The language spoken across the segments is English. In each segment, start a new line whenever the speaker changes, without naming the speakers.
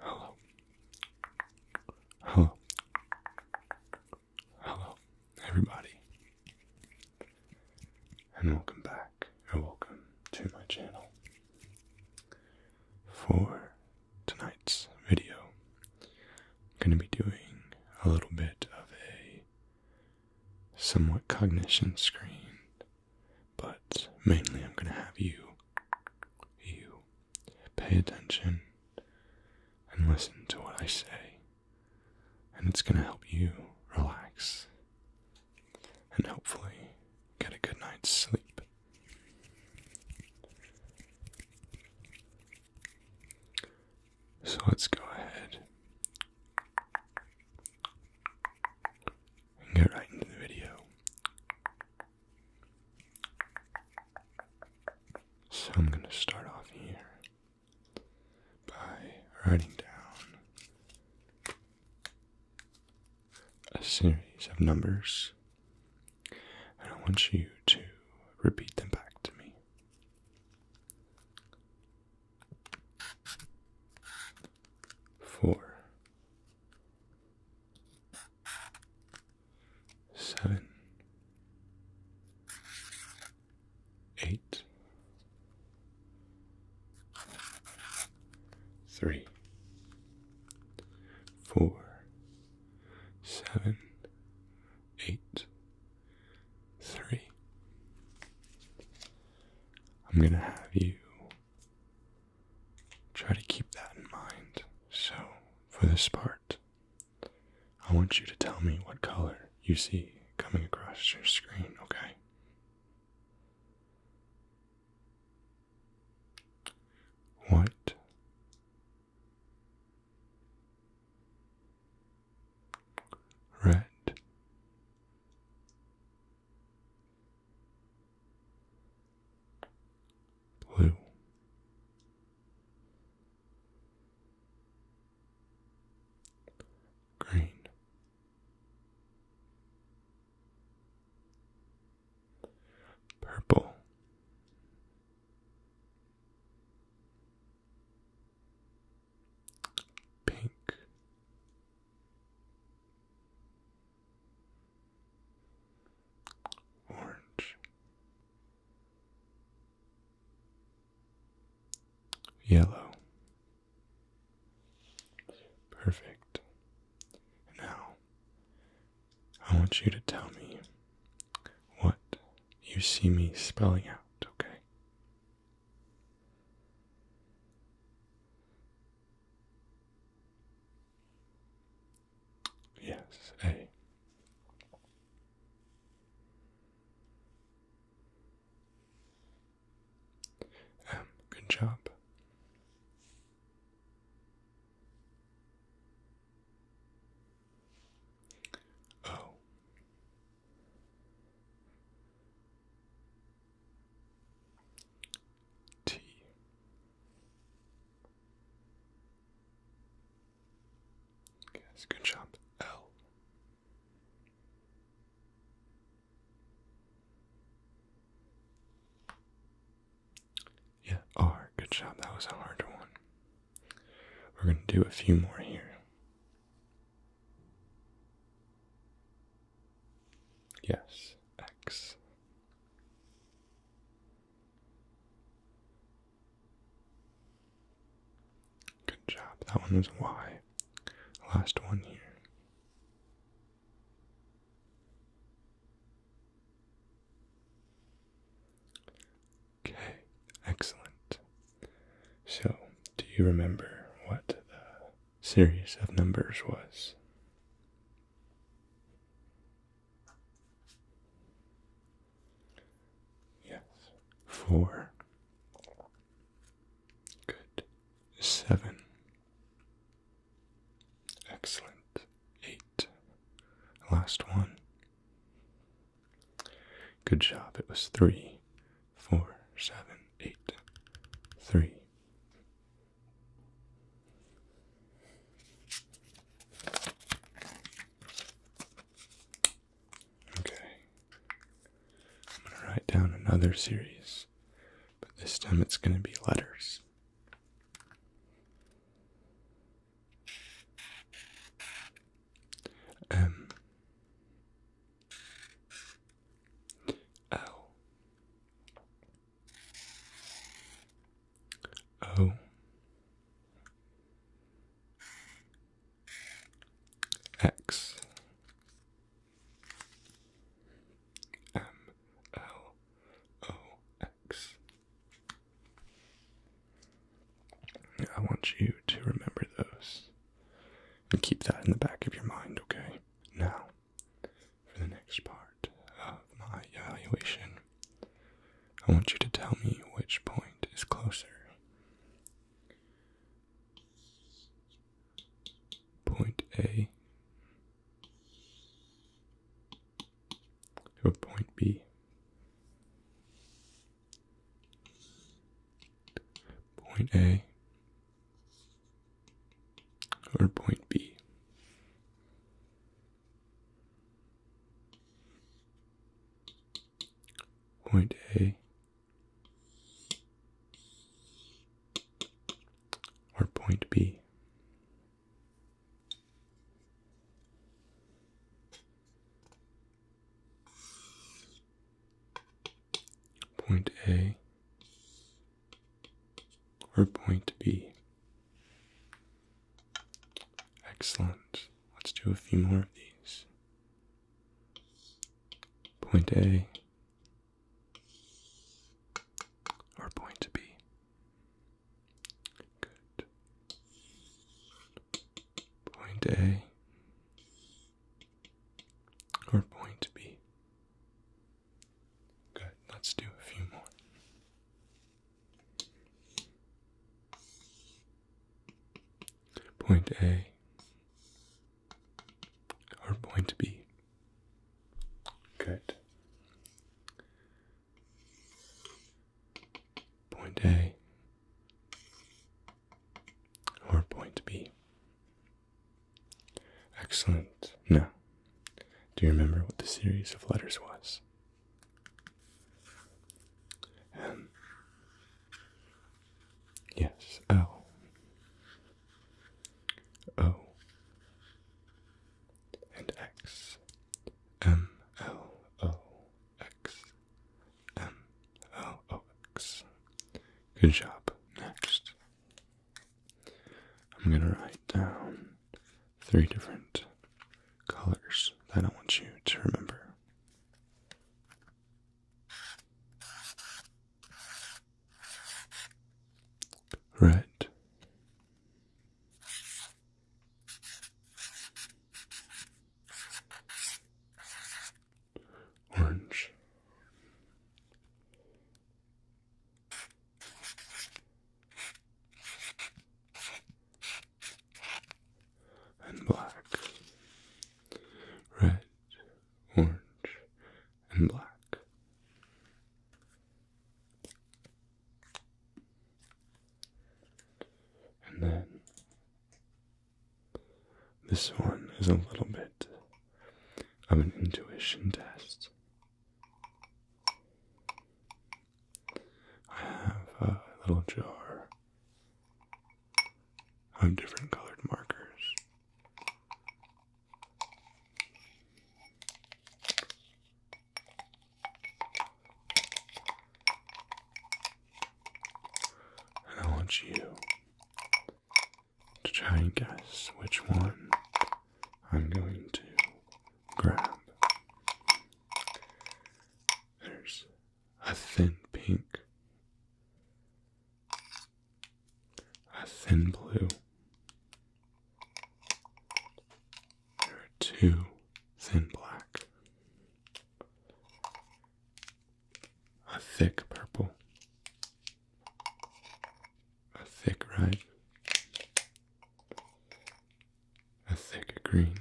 Hello. Hello. Hello, everybody. And welcome back, and welcome to my channel. For tonight's video, I'm going to be doing a little bit of a somewhat cognition screen, but mainly I'm going to have you, you, pay attention and listen to what I say, and it's going to help you relax and hopefully get a good night's sleep. So let's go ahead and get right into the video. So I'm going to start off here by writing down a series of numbers, and I want you to repeat them back to me four, seven, eight, three, four, seven, eight three. I'm going to have you try to keep that in mind. So, for this part, I want you to tell me what color you see coming across your screen, okay? What red. Blue, green, purple, pink. Orange, yellow, perfect. Now, I want you to tell me what you see me spelling out, okay? Yes, A. good job. Oh, T Yes, good job. L Yeah, R, good job. That was a hard one. We're gonna do a few more here. Yes, X. Good job. That one was Y. Last one here. Okay, excellent. So, do you remember what the series of numbers was? Yes, four. Good. Seven. Excellent. Eight. Last one. Good job. It was three, four, seven, eight, three. Okay. I'm going to write down another series, but this time it's going to be letters. M L oh. O oh. X M L O X. I want you to remember those and keep that in the back of your mind, okay? Now, for the next part of my evaluation, I want you to tell me which point is closer. Point A to point B. Point A or point B. Point A or point B point A or point B. Excellent. Let's do a few more of these. Point A or point B. Good. Point A are going to Good, let's do a few more. Point A or point B. Good. Point A or point B. Excellent. No. do you remember what the series of letters was? M. Yes, L. O. And X. M. L. O. X. M. L. O. X. Good job. Next, I'm going to write down three different colors that I want you to remember. Red, orange. And black, red, orange, and black. And then this one is a little bit of an intuition test. I have a little jar of different colored markers. And I want you to try and guess which one I'm going to grab. There's a thin pink, a thin blue. There are two thin black, a thick purple, a thick red, a thick green,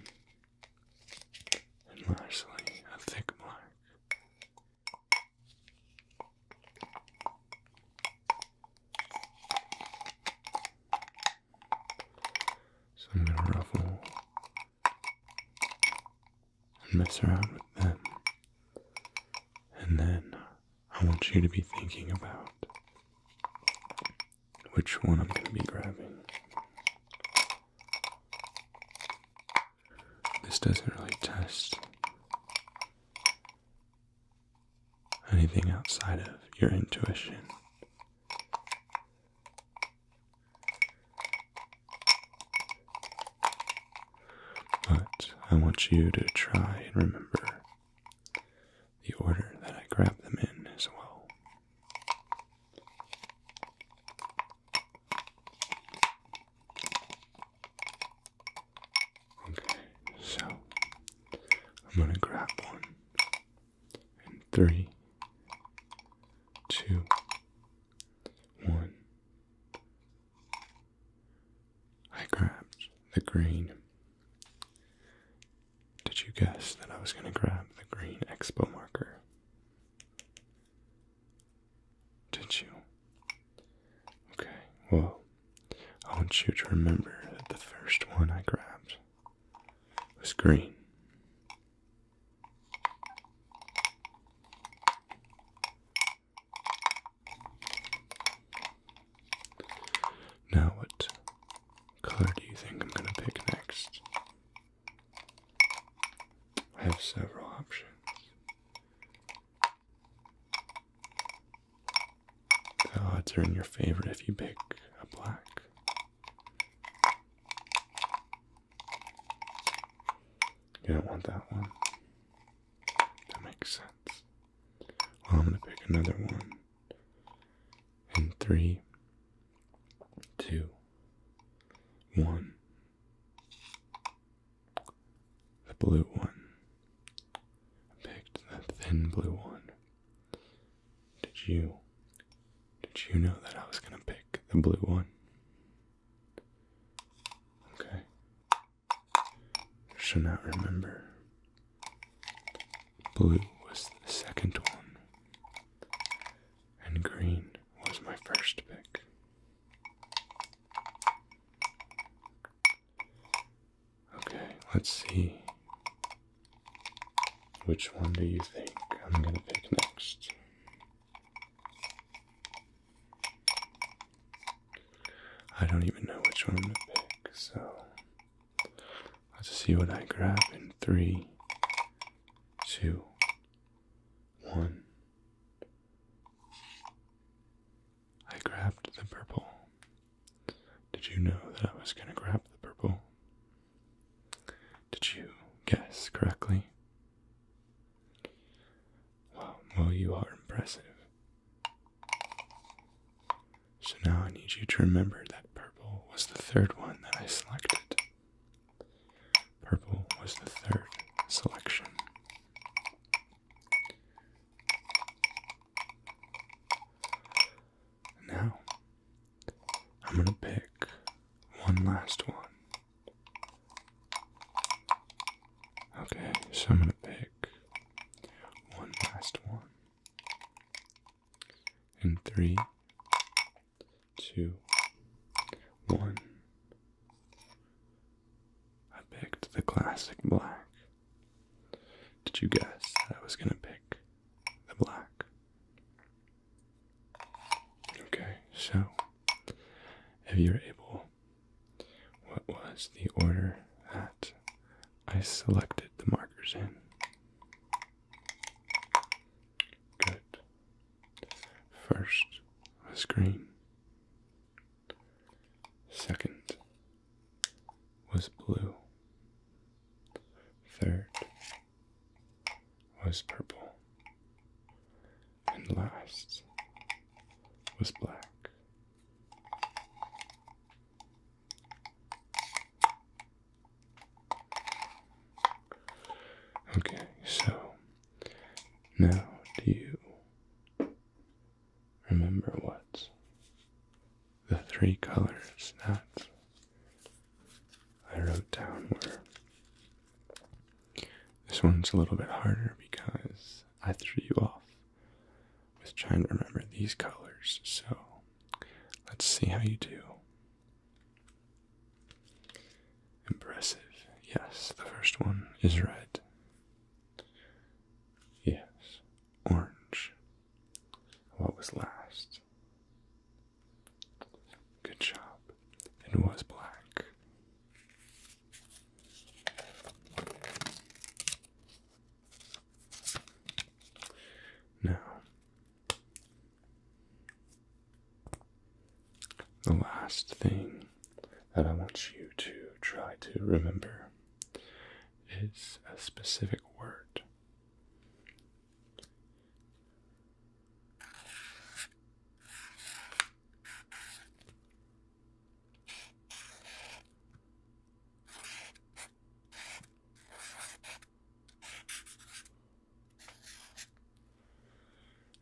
and lastly a thick black. So I'm going to ruffle and mess around with them. And then I want you to be thinking about which one I'm going to be grabbing. This doesn't really test anything outside of your intuition. But I want you to try and remember the order that I grab them in as well. Okay, so I'm going to grab one in three, two, one, I grabbed the green. Did you guess that I was going to grab the green expo marker? Did you? Okay, well, I want you to remember that the first one I grabbed was green. Now, what color do you think I'm going to pick next? I have several options. The odds are in your favor if you pick a black. You don't want that one. That makes sense. Well, I'm going to pick another one. In three, two, one. The blue one. I picked the thin blue one. Did you? Did you know that I was going to pick the blue one? Okay. Should not remember. Blue was the second one, and green was my first pick. Okay, let's see. Which one do you think I'm gonna pick next? I don't even know which one to pick, so I'll just see what I grab in three, two, one. I grabbed the purple. Did you know that I was going to grab the purple? Did you guess correctly? well, you are impressive. So now I need you to remember that purple was the third one that I selected. Purple was the third selection. Now, I'm going to pick one last one Okay, so I'm gonna pick one last one. In three, two, one. I picked the classic black. Did you guess that I was gonna pick the black? Okay, so if you're able what was the order that I selected the markers in? Good. First was green. Second was blue. Third was purple and last was black. Okay, so now do you remember what the three colors that I wrote down were? This one's a little bit harder because I threw you off with trying to remember these colors. So let's see how you do. Impressive. Yes, the first one is red. Yes, orange. What was last? Good job. It was black. Now, the last thing that I want you to try to remember is a specific word.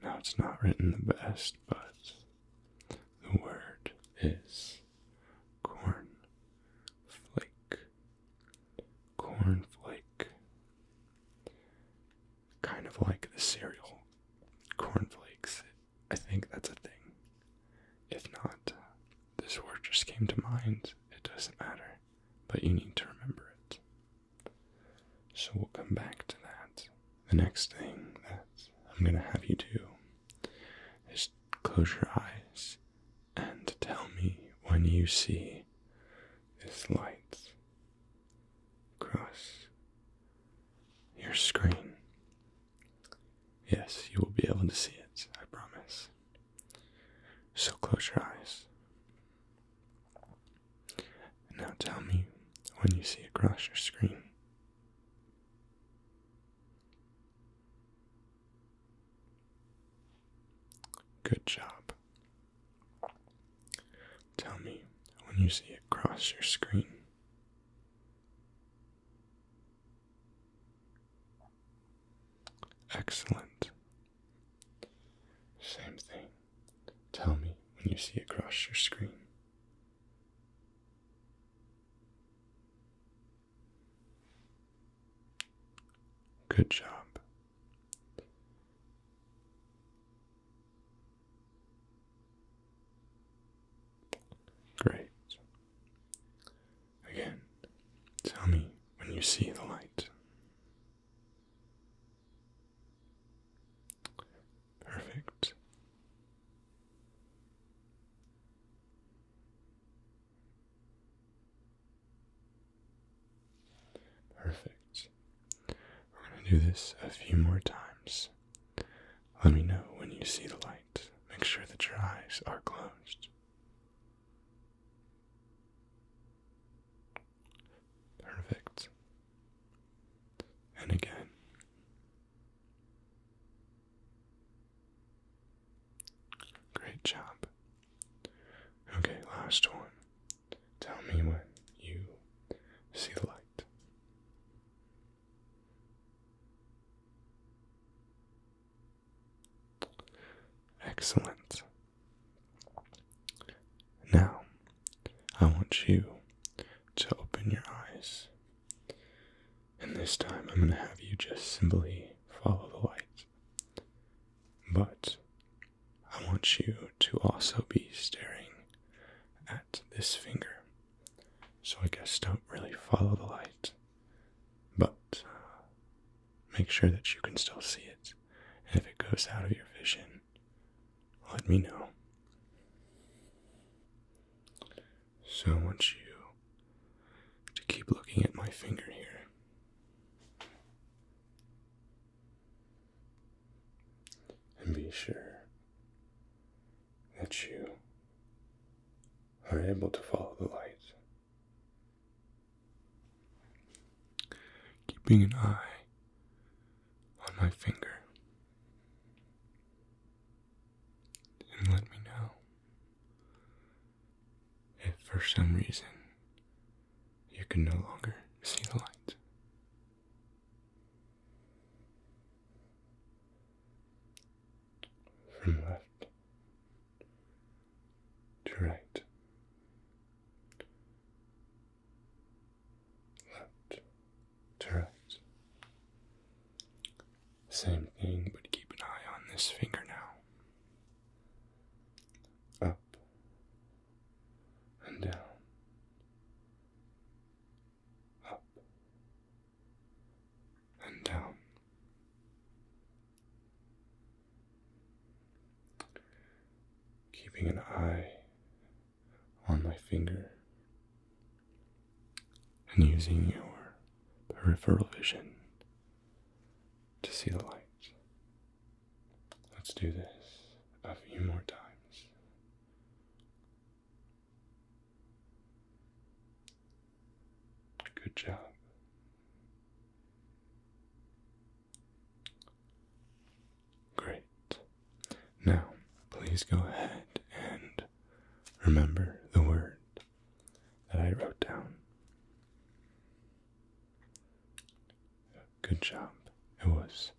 Now it's not written the best, but the word is cornflake. Cornflake, Kind of like the cereal cornflakes I think that's a thing. If not, this word just came to mind. It doesn't matter, but you need to remember it. So we'll come back to that. The next thing that I'm going to have you do is close your eyes and tell me when you see this light across your screen. Yes, you will be able to see it, I promise. So close your eyes. And now tell me when you see across your screen. Good job. Tell me when you see across your screen. Excellent. Same thing. Tell me when you see it across your screen. Good job. Great. Again, tell me when you see the light. Perfect. Perfect. We're going to do this a few more times. Let me know when you see the light. Make sure that your eyes are closed. Perfect. And again. Great job. Okay, last one. Tell me when you see the light. Excellent. Now, I want you to open your eyes. And this time I'm going to have you just simply follow the light. But I want you to also be staring at this finger. So I guess don't really follow the light. But uh, make sure that you can still see it. And if it goes out of your vision, let me know. So I want you to keep looking at my finger here. And be sure that you are able to follow the light. Keeping an eye on my finger and let me know if for some reason you can no longer see the light from left to right, left to right. Same thing, but keep an eye on this finger now. Up and down, up and down. Keeping an eye on my finger and using your peripheral vision to see the light. Let's do this a few more times. Good job. Great. Now, please go ahead and remember the word that I wrote down. Good job. It was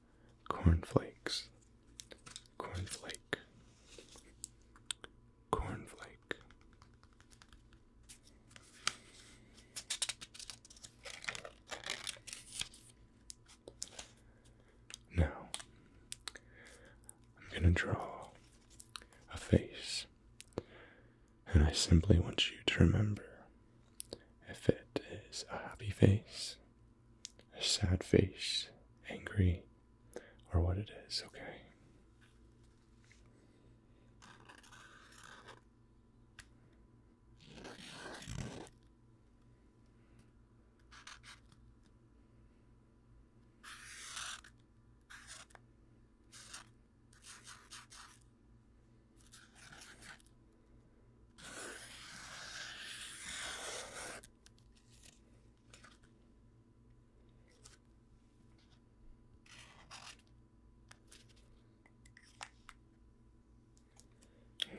cornflakes cornflake, cornflake. Now, I'm going to draw a face, and I simply want you to remember if it is a happy face, a sad face, angry, or what it is, okay?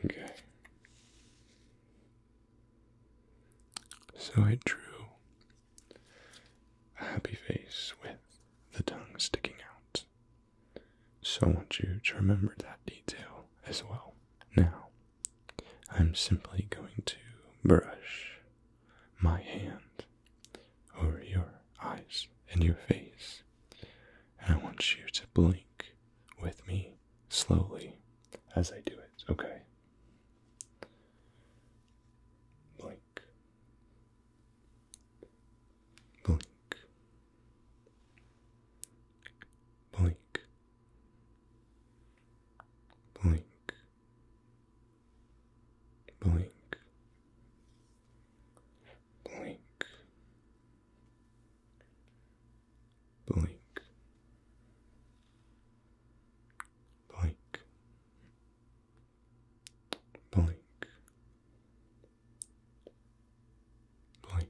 Okay. So I drew a happy face with the tongue sticking out. So I want you to remember that detail as well. Now, I'm simply going to brush my hand over your eyes and your face, and I want you to blink with me slowly as I do it, okay? Blink. Blink. Blink. Blink. Blank. Blank. Blank. Blank. Blank. Blank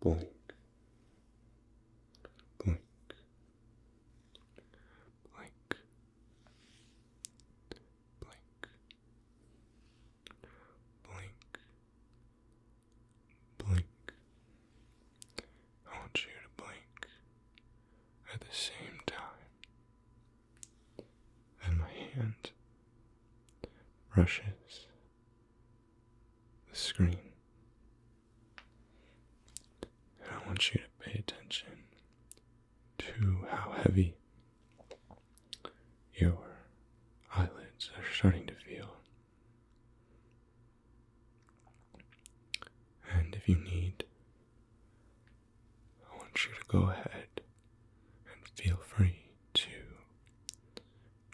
blink, blink, blink, blink, blink, blink. I want you to blink at the same time, and my hand brushes the screen. I want you to pay attention to how heavy your eyelids are starting to feel. And if you need, I want you to go ahead and feel free to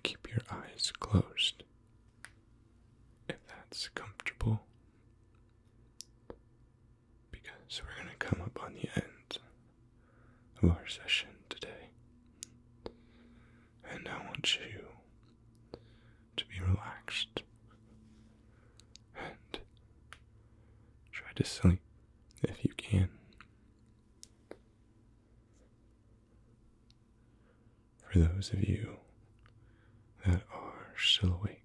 keep your eyes closed. If that's comfortable, because we're going to come up on the end of our session today, and I want you to be relaxed and try to sleep if you can. For those of you that are still awake,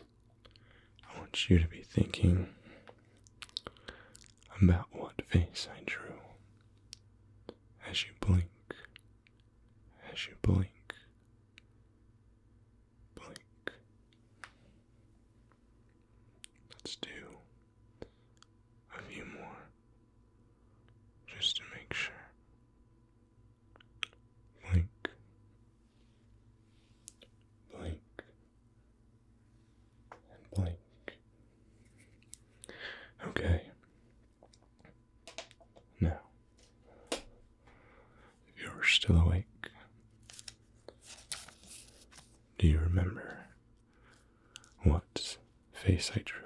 I want you to be thinking about what face I drew as you blink, as you blink. Blink. Let's do a few more just to make sure. Blink, blink, and blink. Okay. Now, if you're still awake, do you remember what face I drew.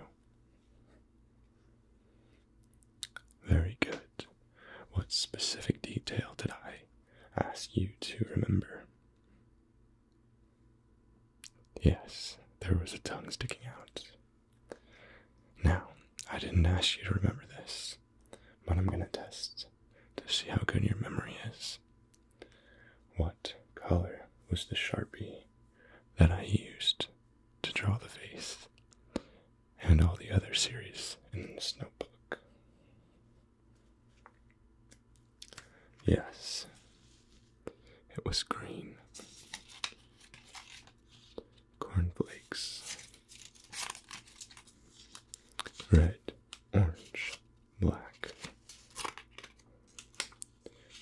Very good. What specific detail did I ask you to remember? Yes, there was a tongue sticking out. Now, I didn't ask you to remember this, but I'm going to test to see how good your memory is. What color was the Sharpie that I used to draw the face and all the other series in this notebook? Yes, it was green. Cornflakes. Red, orange, black.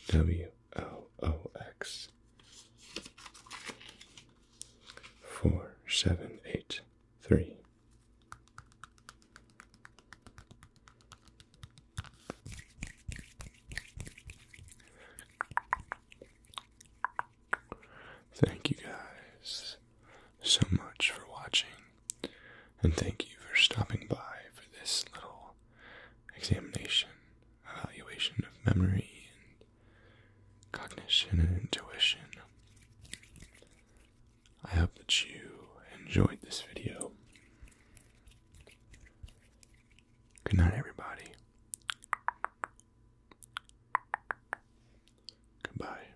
W L O X four seven eight three Thank you guys so much for watching and thank you for stopping by for this little examination, evaluation of memory and cognition and intuition. I hope that you enjoyed this video. Good night, everybody. Goodbye.